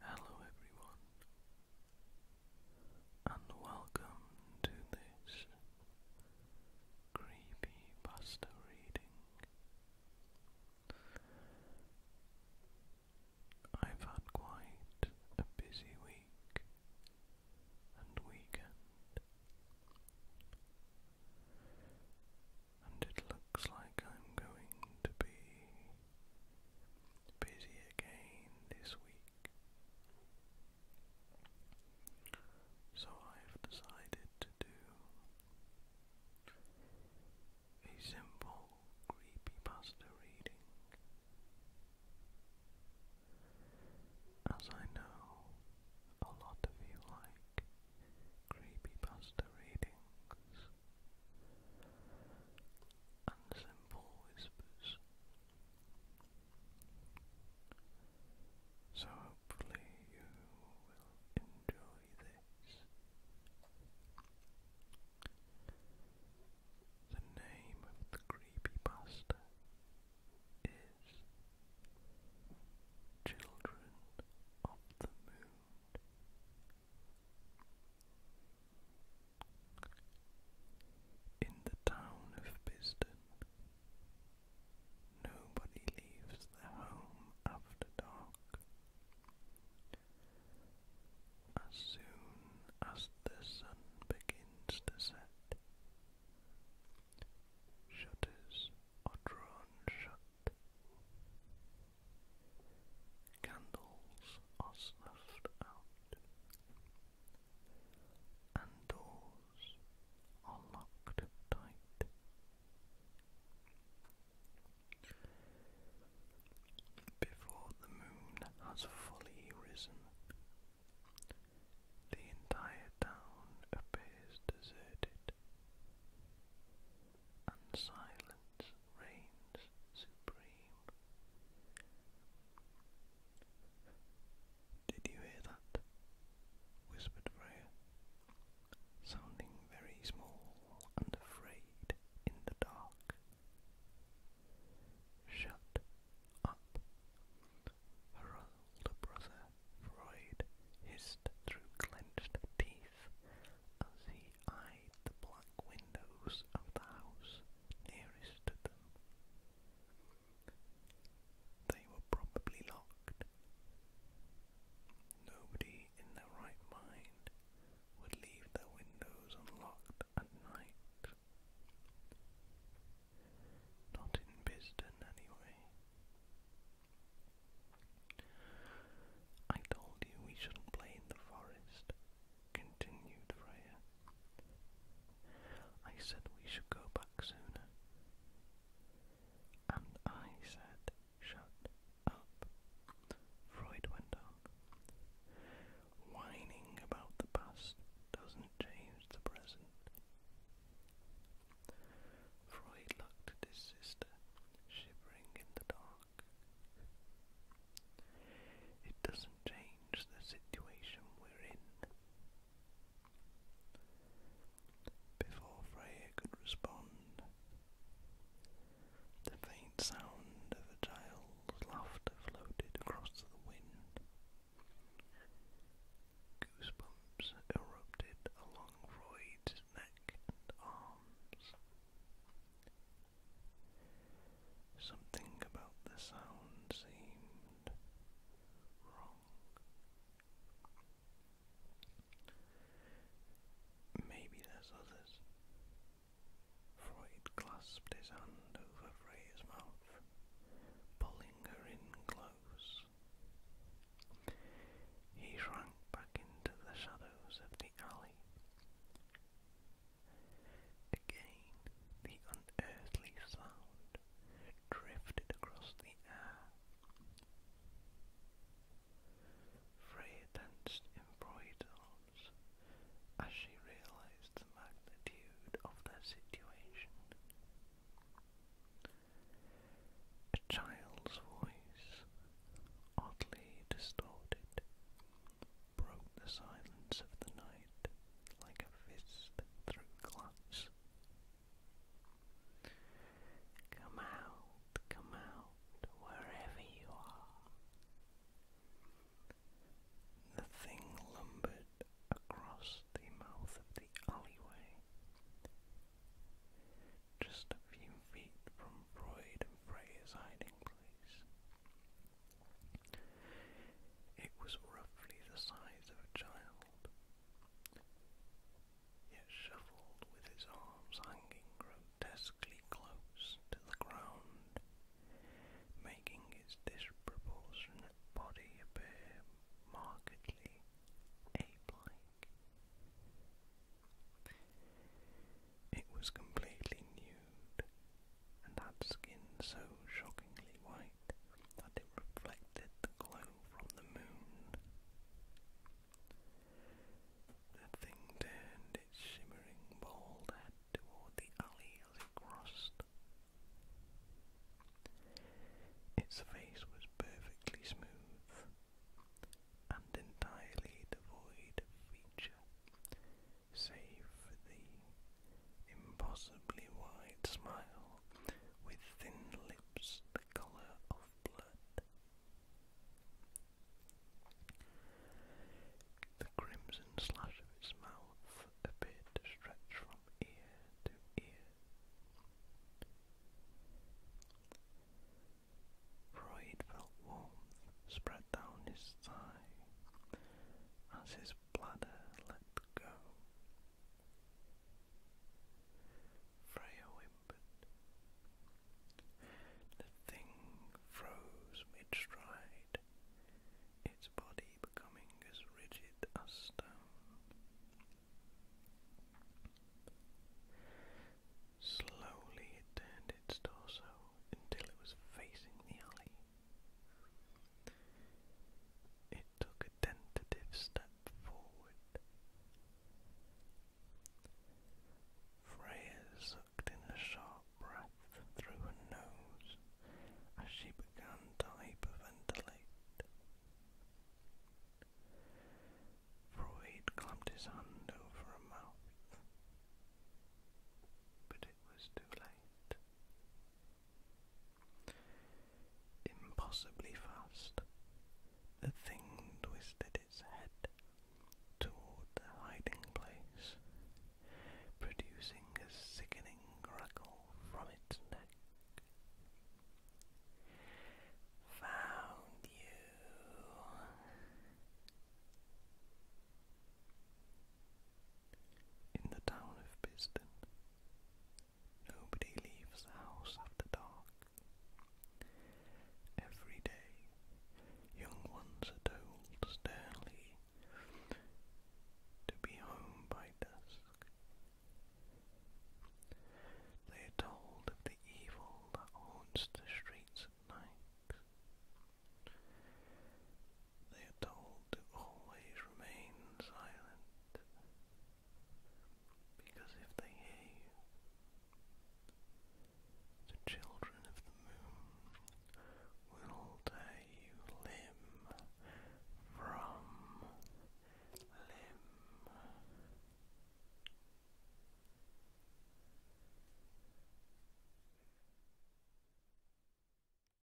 Hello, everyone, and welcome to this creepy pasta reading. I've had quite a busy week and weekend and it looks like I'm going to be busy again this week. So I've decided to do a simple creepypasta reading. As I know a lot of you like creepypasta readings and simple whispers. So hopefully you will enjoy this. The name of the creepypasta is Children of the Moon. In the town of Biston, nobody leaves their home after dark. As soon as the sun begins to set, Shutters are drawn shut. Candles are snuffed out. And doors are locked tight. Before the moon has fully risen, the entire town appears deserted, and silence reigns supreme. Did you hear that? whispered Freya, sounding very small and afraid in the dark. Shut up. Her older Freud, hissed through clenched teeth as he eyed the black windows of the house nearest to them. They were probably locked. Nobody in their right mind would leave their windows unlocked at night. Not in Bisden, anyway. I told you we shouldn't play in the forest, continued Freya. I said we should go back sooner. And I said, shut up. Freud went on. Whining about the past doesn't change the present. Freud looked at his sister, shivering in the dark. It doesn't change the situation we're in. Before Freya could respond, the faint sound of a child's laughter floated across the wind. Goosebumps erupted along Freud's neck and arms. Something about the sound seemed wrong. Maybe there's others, Freud clasped his hand over Freya's mouth, pulling her in close. He shrank back into the shadows of the alley. Again, the unearthly sound drifted across the air. Freya tensed in bridle as she realized the magnitude of the situation. A child's voice, oddly distorted, broke the silence of the night like a fist through glass. Come out, come out wherever you are. The thing lumbered across the mouth of the alleyway. Just a few feet from Freud and Freya's hiding place. It was roughly the size of a child, yet shuffled with its arms hanging grotesquely close to the ground, making its disproportionate body appear markedly ape-like. It was completely nude and had skin so shockingly white that it reflected the glow from the moon. The thing turned its shimmering bald head toward the alley as it crossed. Its face was perfectly smooth and entirely devoid of feature, save the impossibly wide smile with thin lips the colour of blood. The crimson slash of its mouth appeared to stretch from ear to ear. Freud felt warmth spread down his thigh as his bladder let go. Freya whimpered. The thing froze mid its body becoming as rigid as stone. Slowly it turned its torso until it was facing the alley. It took a tentative step forward. Freya sucked in a sharp breath through her nose as she began to hyperventilate. Freud clamped his hand over her mouth, but it was too late. Impossibly fast, the thing twisted its head toward the hiding place, producing a sickening crackle from its neck. Found you. In the town of Piston, Nobody leaves the house after dark. Every day, young ones are told sternly to be home by dusk. They are told of the evil that haunts the streets at night they are told to always remain silent, because if they hear the children of the moon will tear you limb from limb.